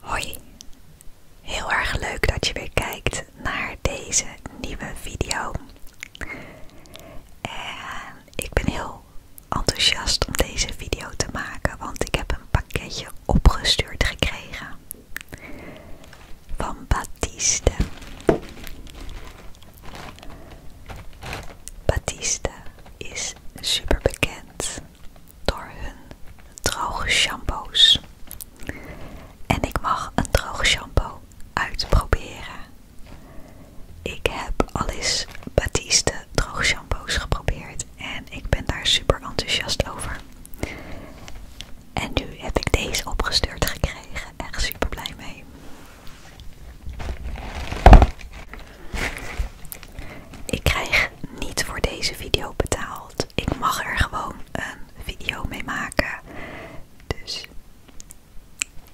Hoi, heel erg leuk dat je weer kijkt naar deze nieuwe video. En ik ben heel enthousiast om deze video te maken, want ik heb een pakketje opgestuurd gekregen van Batiste. Batiste is super bekend door hun droge shampoos. En ik mag een droog shampoo uitproberen. Ik heb alles Baptiste Batiste droge shampoos geprobeerd en ik ben daar super enthousiast over. En nu heb ik deze opgestuurd gekregen. Echt super blij mee. Ik krijg niet voor deze video betaald. Ik mag er gewoon een video mee maken. Dus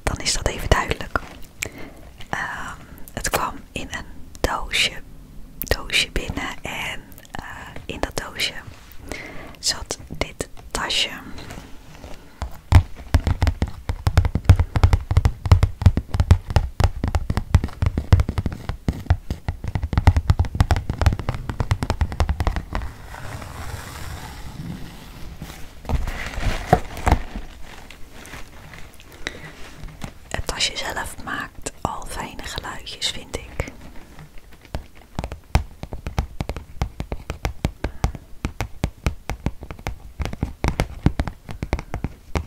dan is dat even duidelijk. Ehm, het kwam in een doosje, doosje binnen en eh, in dat doosje zat dit tasje. Het je zelf maakt al fijne geluidjes, vind ik.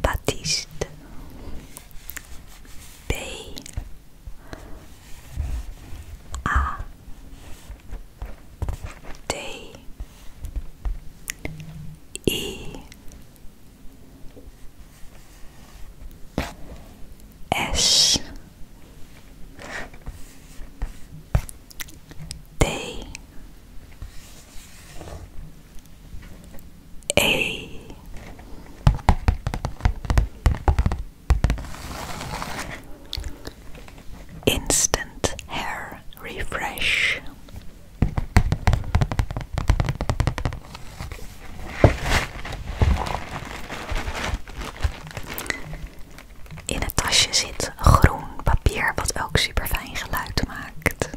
Baptiste B A D E S D Instant Hair Refresh In het tasje zit groen papier wat ook super fijn geluid maakt.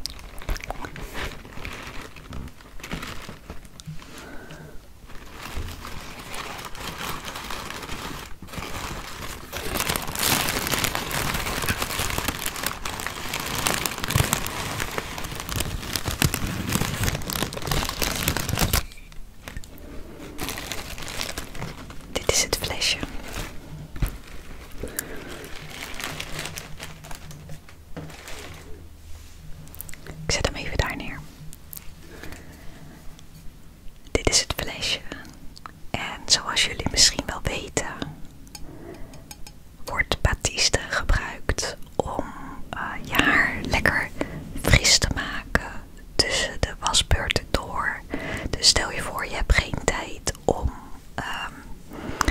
Dit is het flesje. Ik zet hem even daar neer. Dit is het flesje. En zoals jullie misschien wel weten, wordt batiste gebruikt om eh, je haar lekker fris te maken tussen de wasbeurten door. Dus stel je voor, je hebt geen tijd om ehm,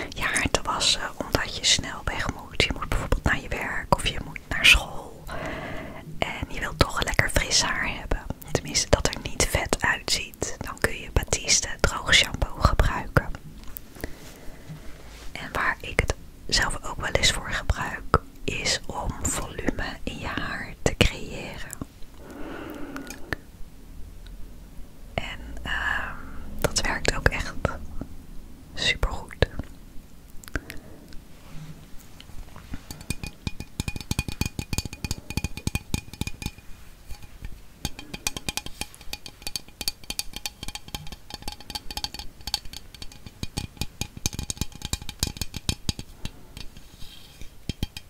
je haar te wassen omdat je snel weg moet. Je moet bijvoorbeeld naar je werk of je moet naar school. En je wilt toch een lekker fris haar hebben. Tenminste, dat er niet vet uitziet. Dan kun je Batiste droog shampoo gebruiken. En waar ik het zelf ook wel eens voor gebruik, is om volume in je haar te creëren. En ehm, dat werkt ook echt supergoed.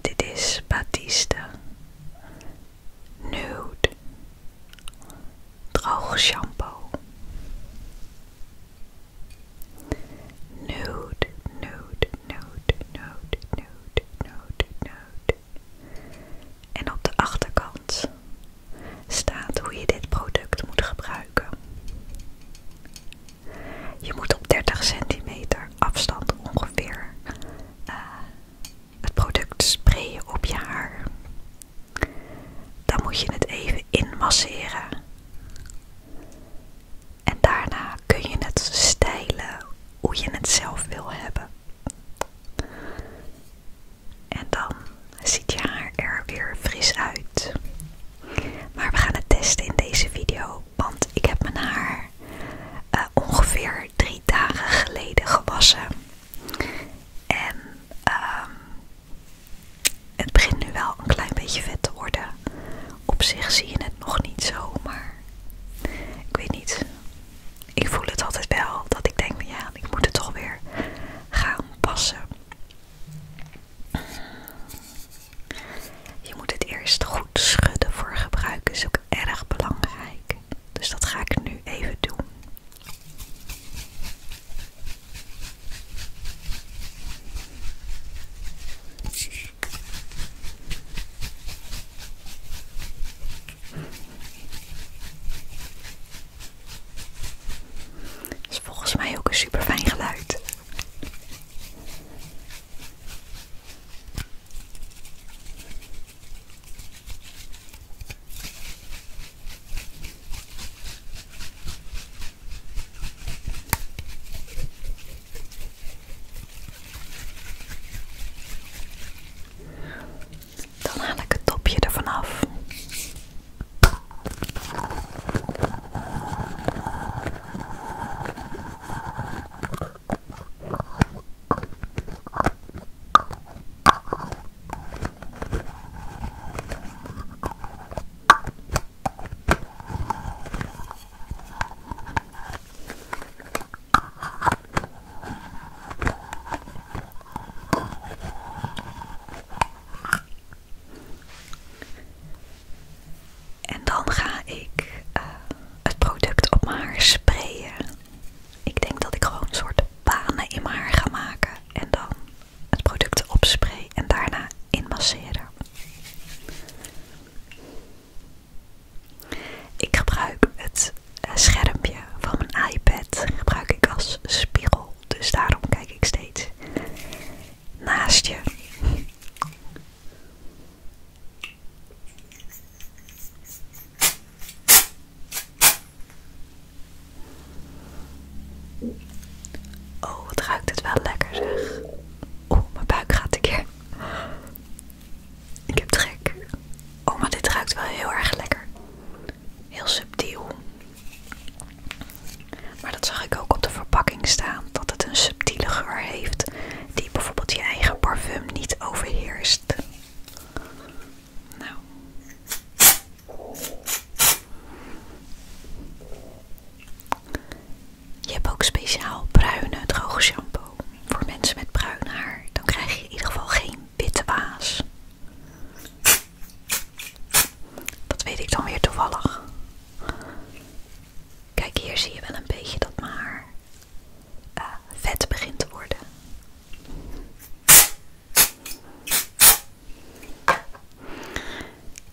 Dit is Batiste Nude Droog shampoo. Nude, nude, nude, nude, nude, nude, nude, en op de achterkant staat hoe je dit product moet gebruiken. Je moet op 30 centimeter afstand ongeveer eh, het product sprayen op je haar. Dan moet je het even inmasseren. En daarna kun je het stylen hoe je het zelf wil hebben. En dan ziet je haar er weer fris uit. Maar we gaan het testen in deze video, want ik heb mijn haar eh, ongeveer drie dagen geleden gewassen. En ehm, het begint nu wel een klein beetje vet te worden. Op zich zie je het nog niet zo, maar ik weet niet ik voel het altijd wel dat ik denk, ja, ik moet het toch weer gaan passen. Je moet het eerst goed schudden voor gebruik, is ook erg belangrijk. Dus dat ga ik nu even doen. Is volgens mij ook een super fijn geluid. Dan haal ik het topje ervan af. En dan ga ik eh, het product op mijn haar sprayen. Ik denk dat ik gewoon een soort banen in mijn haar ga maken en dan het product opspray en daarna inmasseren. Ik gebruik het eh, schermpje van mijn iPad gebruik ik als spiegel, dus daarom kijk ik steeds naast je. Oh, het ruikt het wel lekker zeg. Oeh, mijn buik gaat een keer. Ik heb trek. Oh, maar dit ruikt wel heel erg lekker. Heel subtiel. Maar dat zag ik ook op de verpakking staan. Dat het een subtiele geur heeft. Die bijvoorbeeld je eigen parfum niet overheerst. Nou. Je hebt ook speciaal bruine droge shampoo voor mensen met bruin haar. Dan krijg je in ieder geval geen witte baas. Dat weet ik dan weer toevallig. Kijk, hier zie je wel een beetje dat mijn haar eh, vet begint te worden.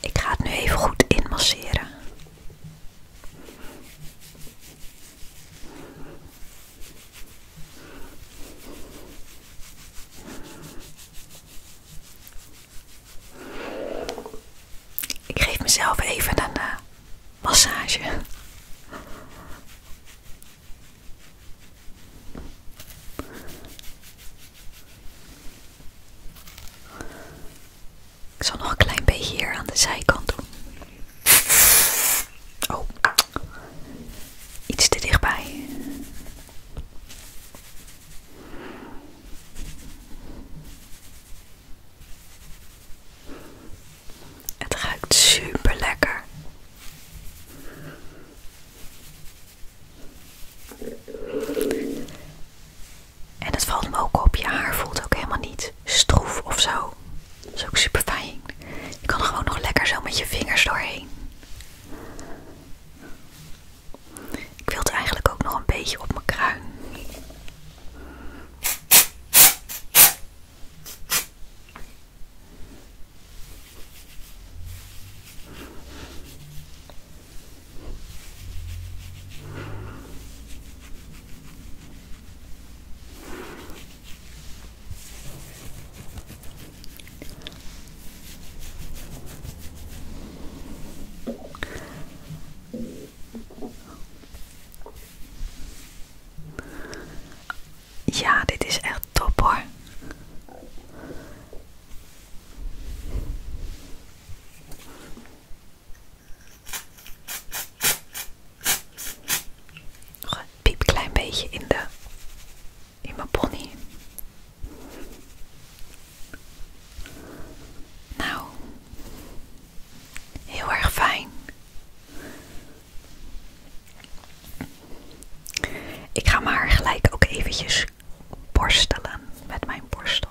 Ik ga het nu even goed inmasseren. Ik geef mezelf even een eh, massage. Ik zal nog een klein beetje hier aan de zijkant doen. Oh, iets te dichtbij. Het ruikt super lekker. En het valt me ook op, je haar voelt ook helemaal niet stroef of zo. Dat is ook super fijn. Je kan gewoon nog lekker zo met je vingers doorheen. Ik wil het eigenlijk ook nog een beetje op mijn kruin. Ja, dit is echt top hoor. Nog een klein beetje in, de, in mijn pony. Nou, heel erg fijn. Ik ga maar gelijk ook eventjes borstelen met mijn borstel.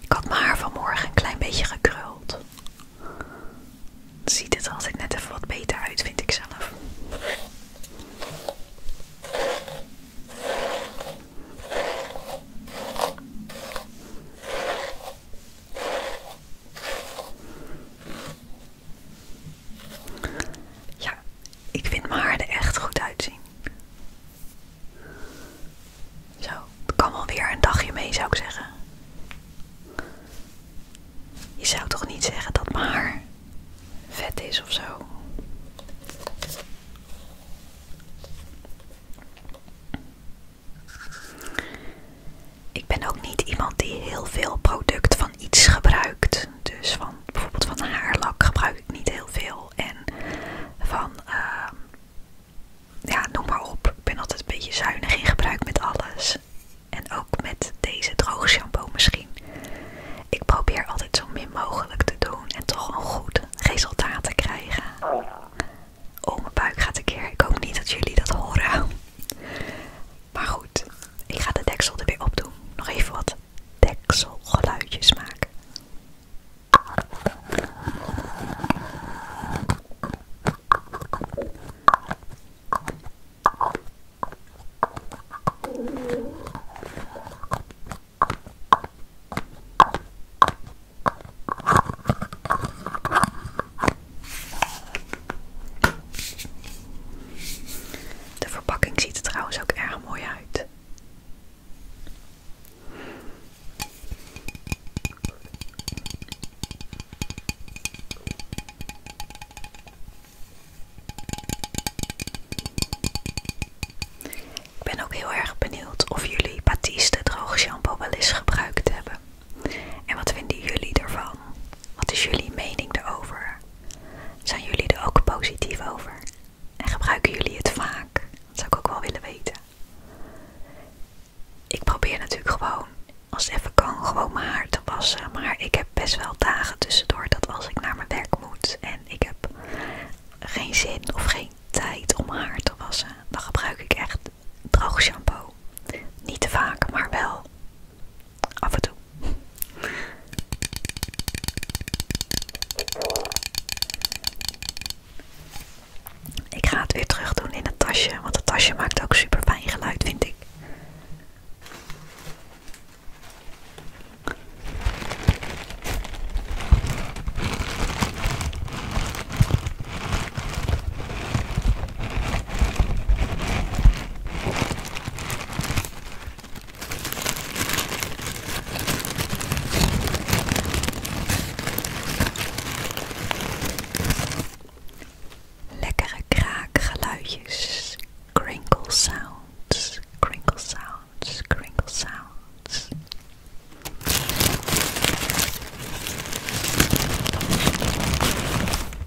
Ik had mijn haar vanmorgen een klein beetje gekruld. Ziet het altijd net even wat beter uit, vind ik zelf. Ja, ik vind mijn haar er echt goed uitzien. Zo, het kan wel weer een dagje mee zou ik zeggen. Je zou toch niet zeggen dat mijn haar vet is of zo? Ik ben ook niet iemand die heel veel product iets gebruikt. Dus van bijvoorbeeld van haarlak gebruik ik niet heel veel. En van, ehm, ja, noem maar op. Ik ben altijd een beetje zuinig in gebruik met alles. En ook met deze droogshampoo misschien. Ik probeer altijd zo min mogelijk te doen en toch een goed resultaat te krijgen. Oh, mijn buik gaat een keer. Ik hoop niet dat jullie dat horen. Maar goed, ik ga de deksel er weer op doen. Nog even wat dekselgeluidjes maken. De verpakking ziet er trouwens ook erg mooi uit. Ik ben ook heel erg benieuwd of jullie Batiste droog shampoo wel eens gebruikt hebben. En wat vinden jullie ervan? Wat is jullie mening daarover? Zijn jullie er ook positief over? En gebruiken jullie het vaak? Dat zou ik ook wel willen weten. Ik probeer natuurlijk gewoon, als het even kan, gewoon mijn haar te wassen. Maar ik heb best wel dagen tussendoor dat als ik naar mijn werk moet en ik heb geen zin of geen tijd om mijn haar te wassen, dan gebruik ik echt droog shampoo. Niet te vaak, maar wel Af Ik ga het weer terug doen in het tasje, want het tasje maakt ook super fijn geluid, vind ik. Lekkere kraakgeluidjes, crinkle sounds, crinkle sounds, crinkle sounds.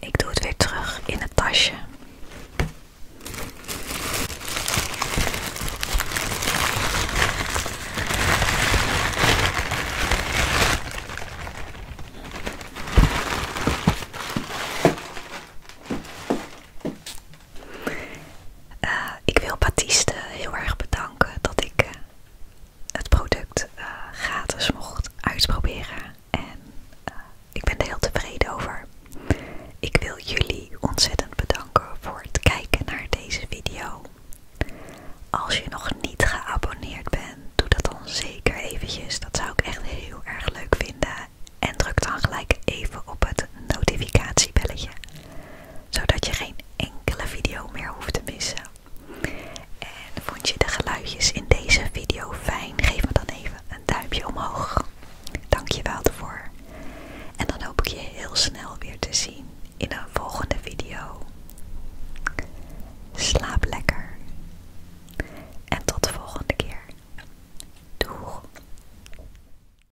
Ik doe het weer terug in het tasje. Eh, ik wil Batiste heel erg bedanken dat ik eh, het product eh, gratis mocht uitproberen. En ik ben er heel tevreden over. Ik wil jullie ontzettend bedanken voor het kijken naar deze video. Als je nog niet geabonneerd bent, doe dat dan zeker eventjes. Dat zou ik echt heel erg leuk vinden. En druk dan gelijk even op het notificatiebelletje zodat je geen enkele video meer hoeft te missen. En vond je de geluidjes in deze video fijn? Geef me dan even een duimpje omhoog. Dank je wel ervoor. En dan hoop ik je heel snel weer te zien in een volgende video. Slaap lekker. En tot de volgende keer. Doeg.